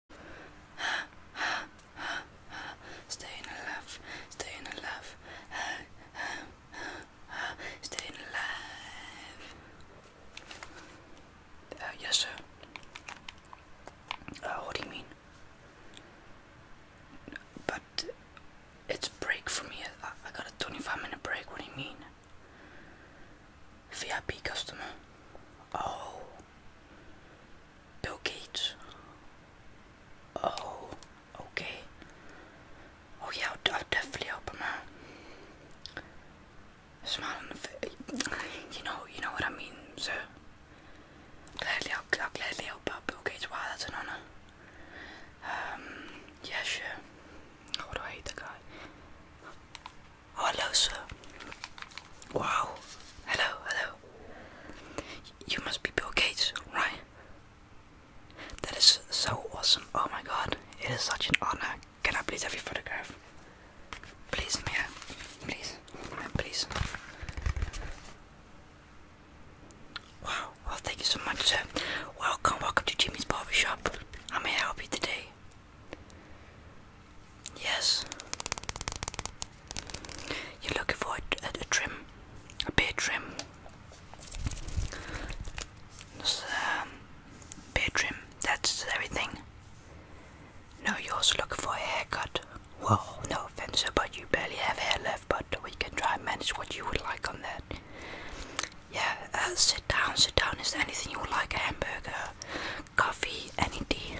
Staying alive, staying alive, staying alive. Uh, yes, sir. Uh, what do you mean? But it's a break for me. I got a 25 minute break. What do you mean? VIP customer. Oh, Bill Gates. Oh, okay. Oh yeah, I'll, definitely help him out. Smiling on the face. You know, you know what I mean, sir. Gladly, I'll, gladly help out Bill Gates. Wow, that's an honor. Um, yeah, sure. Oh, do I hate the guy? Oh, hello, sir. Wow. Hello, hello. You must be Bill Gates, right? That is so awesome. Oh my god, it is such an honor. Can I please have your photograph? Please, may Please, may please. Wow, well, thank you so much, sir. Welcome, welcome to Jimmy's Barber Barbershop. How may I help you today? Yes. You're looking for a, a trim, a beard trim. So, um, beard trim, that's everything. No, you're also looking for a haircut. Well, no offense, but you barely have hair left, but we can try and manage what you would like on that. Yeah, uh, sit down, sit down. Is there anything you would like? A hamburger, coffee, any tea?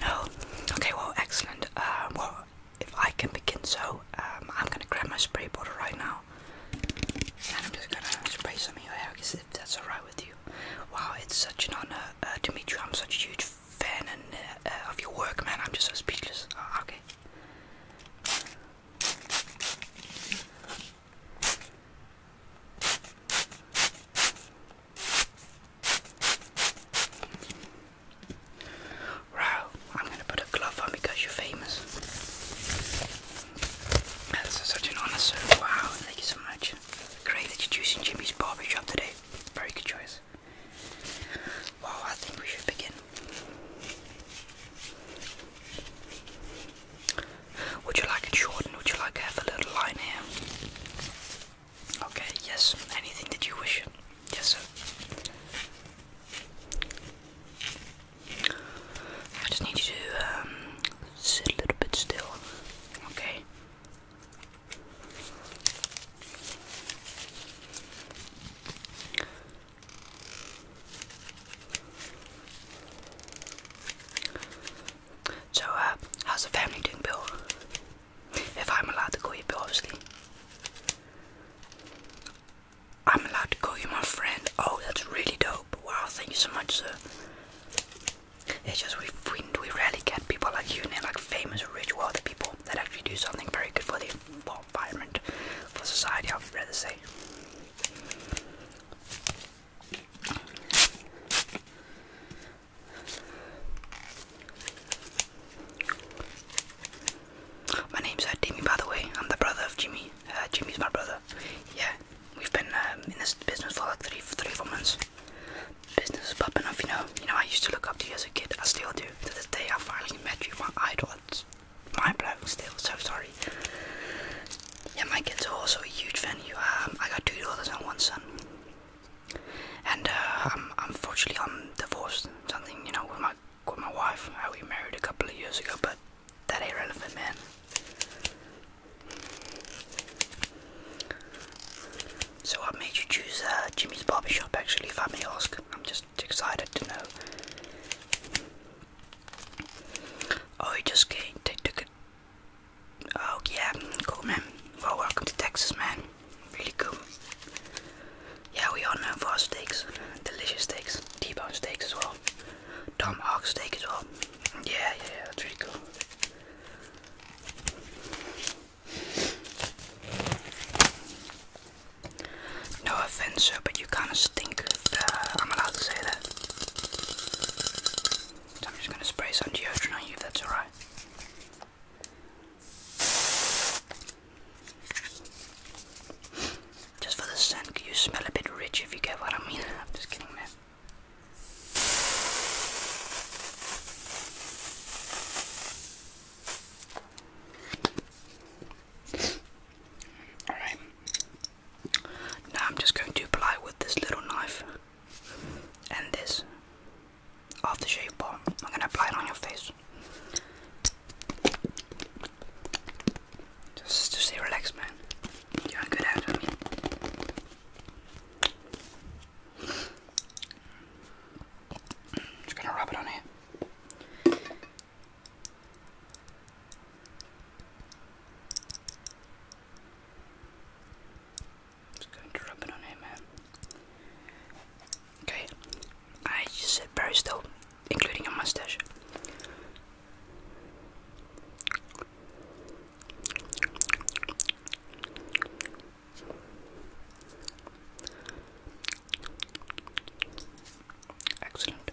No? Okay, well, excellent. Uh, well, if I can begin, so um, I'm gonna grab my spray bottle right now and I'm just gonna spray some of your hair if that's alright with you. Wow, it's such an honor uh, to meet you. I'm such a huge fan and, uh, of your work, man. I'm just so speechless. okay. Wow, I'm gonna put a glove on because you're famous. That's such an honor, sir. Wow, thank you so much. Great that you're choosing Jimmy's barber shop today. Very good choice. Well, I think we should begin. Would you like it short would you like to have a little line here? Okay, yes. Anything that you wish. Yes, sir. I just need you to um, sit a little bit still. Okay. So, uh, how's the family doing, Bill? If I'm allowed to call you Bill, obviously. I'm allowed to call you my friend. Oh, that's really dope. Wow, thank you so much, sir. It's just we, we, rarely get people like you and they like famous, rich, wealthy people that actually do something very good for the environment, for society, I'd rather say. My name's uh, by the way. I'm the brother of Jimmy. Uh, Jimmy's my brother. Yeah, we've been um, in this business for like three, three, four months. Business is popping off, you know. You know, I used to look up to you as a kid. I still do. To this day, I finally met you, my idol. It's mind blowing. Still, so sorry. Yeah, my kids are also a huge fan. You, um, I got two daughters and one son. And uh, um, unfortunately, I'm divorced. Something you know with my with my wife. How we married a couple of years ago, but that ain't relevant, man. So what made you choose uh, Jimmy's barbershop, actually, if I may ask. I'm just excited to know. Oh, he just came. They took it. Oh yeah, cool man. welcome to Texas, man. Really cool. Yeah, we all know for our steaks, delicious steaks, T-bone steaks as well, tomahawk steak as well. Yeah, yeah, that's really cool. No offense, sir, but you kind of stink. Uh, I'm allowed to say that. I'm just going to spray some deodorant on you if that's alright. Just for the scent, you smell a bit rich if you get what I mean. I'm just kidding, man. Alright, now I'm just going to apply with this little knife and this aftershave bar. I'm going to apply it on your face. Just to stay relaxed, man. You're a good at it. Just gonna rub it on here. Just going to rub it on him, man. Okay, I just sit very still, including a mustache. Excellent.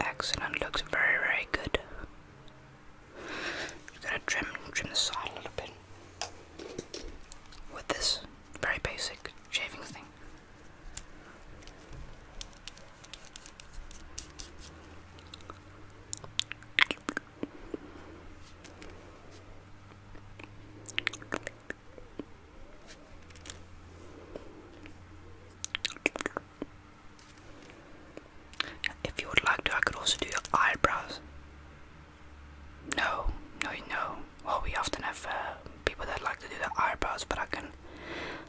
Excellent, looks very, very good. Just gonna trim, trim the side a little bit with this very basic shaving thing. If you would like to, I could also do your eyebrows. No, no, no well, we often have uh, people that like to do their eyebrows, but I can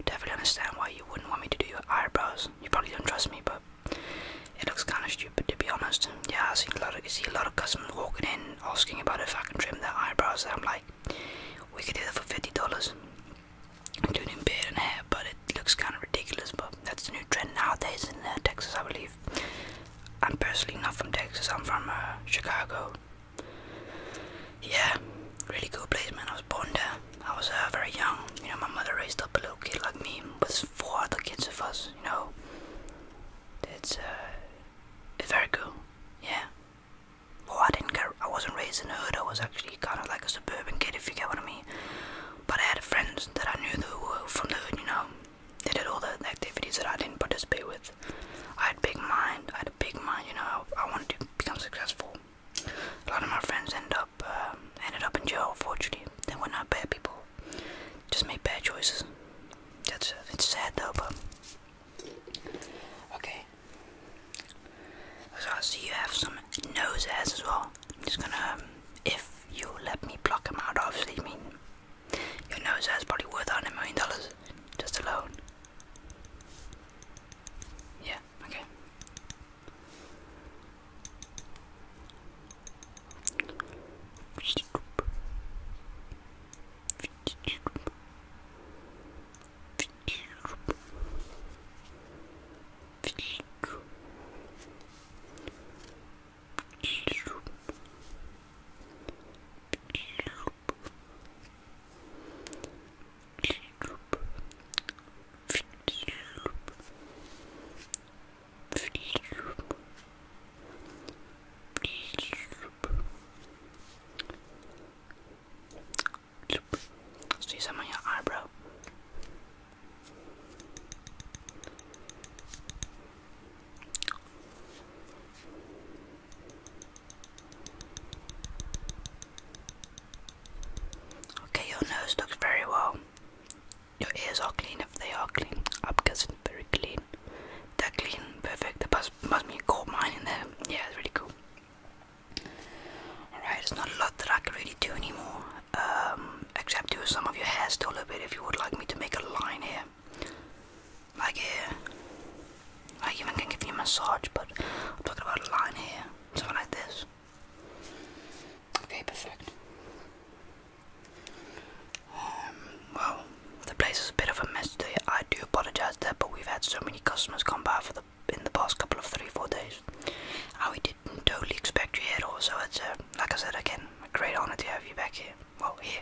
definitely understand why you wouldn't want me to do your eyebrows. You probably don't trust me, but it looks kind of stupid to be honest. Yeah, I see a lot of, I see a lot of customers walking in asking about if I can trim their eyebrows, and I'm like, we can do that for fifty dollars. including beard and hair, but it looks kind of ridiculous. But that's the new trend nowadays in uh, Texas, I believe. I'm personally not from Texas. I'm from uh, Chicago yeah, really cool place, man. I was born there. I was uh, very young. You know, my mother raised up a little kid like me with four other kids of us. You know, it's uh, it's very cool. Yeah. Well, I didn't get. I wasn't raised in the hood. I was actually kind of like a suburban kid, if you get what I mean. But I had friends that I knew who were from the hood. You know, they did all the activities that I didn't participate with. I had a big mind. I had a big mind. You know, I, wanted to become successful. A lot of my friends end up uh, ended up in jail. Unfortunately, they were not bad people. Just made bad choices. That's uh, it's sad though, but okay. So I see you have some nose hairs as well. I'm just gonna, um, if you let me pluck them out, obviously, mean, your nose hair's probably worth a hundred million dollars just alone. Yeah, okay. Let's do some on your eyebrow. Okay, your nose looks very well. Your ears are clean if they are clean. I'm guessing very clean. They're clean, perfect. There must, must be a gold mine in there. Yeah, it's really cool. Alright, there's not a lot that I can really do anymore. Um, except do some of your hair still a bit if you would like me to make a line here. Like here. I even can give you a massage, but I'm talking about a line here. Something like this. Okay, perfect. Um, well, the place is a bit of a mess today. I do apologize that, but we've had so many customers come by for the in the past couple of three, four days. And we didn't totally expect you here, also. It's, uh, like I said again, a great honor to have you back here. Well, here.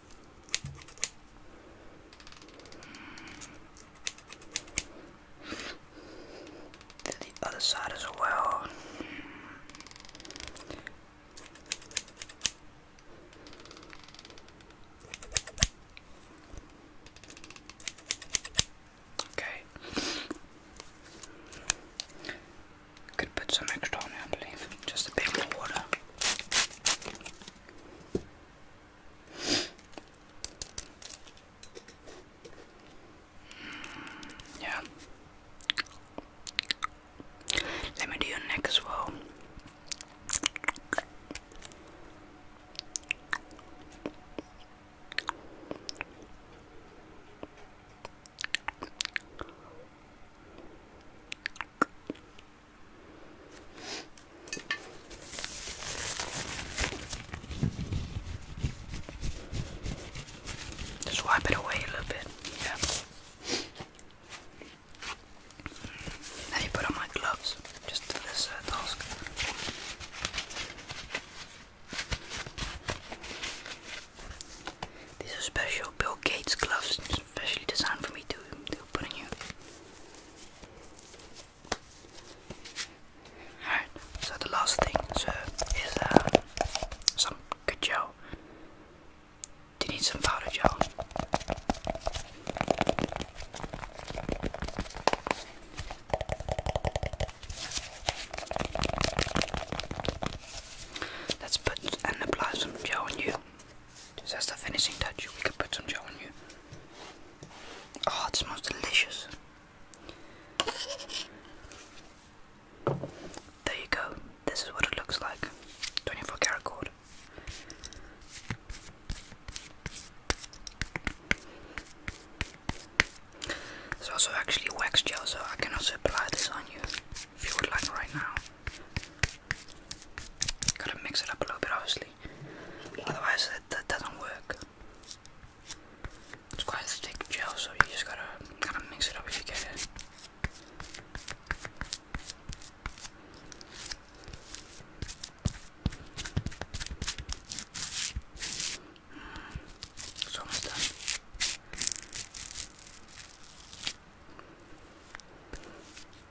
To the other side as well. Okay. Could put some extra on I believe. Just a bit more water. Yeah. Let me do your neck as well. Just wipe it away a little bit. Yeah. Let me put on my gloves just for this uh, task. These are special Bill Gates gloves. Especially designed for me to, to put in here. Alright, so the last thing so is uh, some good gel. Do you need some powder gel? Let's put and apply some gel on you. Just as the finishing touch, we could put some gel on you. Oh, it smells delicious. There you go. This is what it looks like. 24 karat gold. There's also actually wax gel, so I can also apply this on you if you would like right now. Gotta mix it up a little bit, obviously. Otherwise, that, that doesn't work. It's quite a thick gel, so you just gotta, gotta mix it up if you get it. almost done.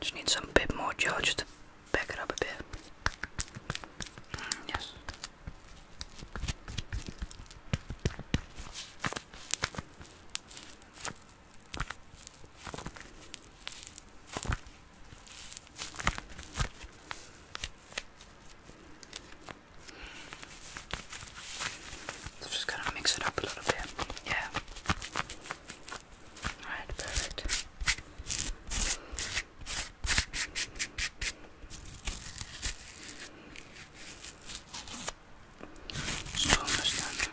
Just need some bit more gel just to back it up a bit. Mm, yes just gonna mix it up a little bit. Yeah. Alright, perfect. It's almost done.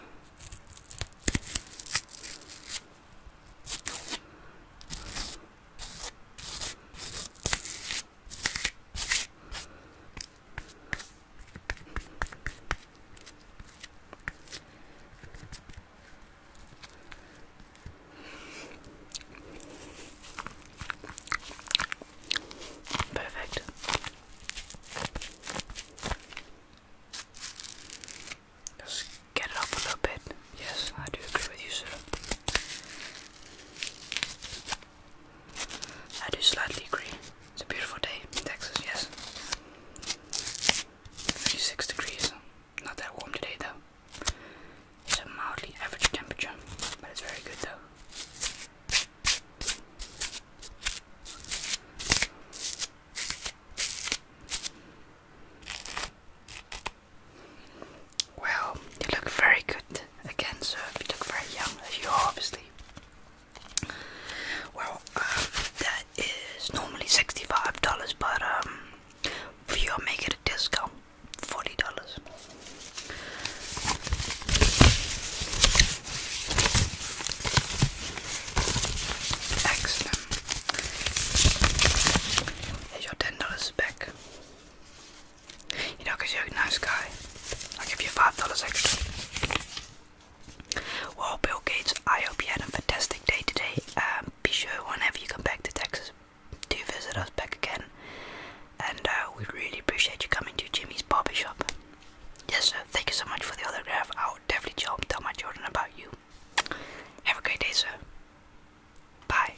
Perfect. Just get it up a little bit. Yes, I do agree with you, sir. I do slightly agree. It's a beautiful day in Texas, yes. 36 degrees. Not that warm today, though. It's a mildly average temperature, but it's very good, though. Well, you look very good again, so you look very young, as you are obviously. Well, um, that is normally sixty-five dollars, but um, we are making a discount, forty dollars. Excellent. Here's your ten dollars you know, because you're a nice guy. I'll give you $5 extra. Well, Bill Gates, I hope you had a fantastic day today. Um, be sure whenever you come back to Texas to visit us back again. And uh, we really appreciate you coming to Jimmy's Barber Shop. Yes, sir. Thank you so much for the autograph. I'll definitely tell, tell my children about you. Have a great day, sir. Bye.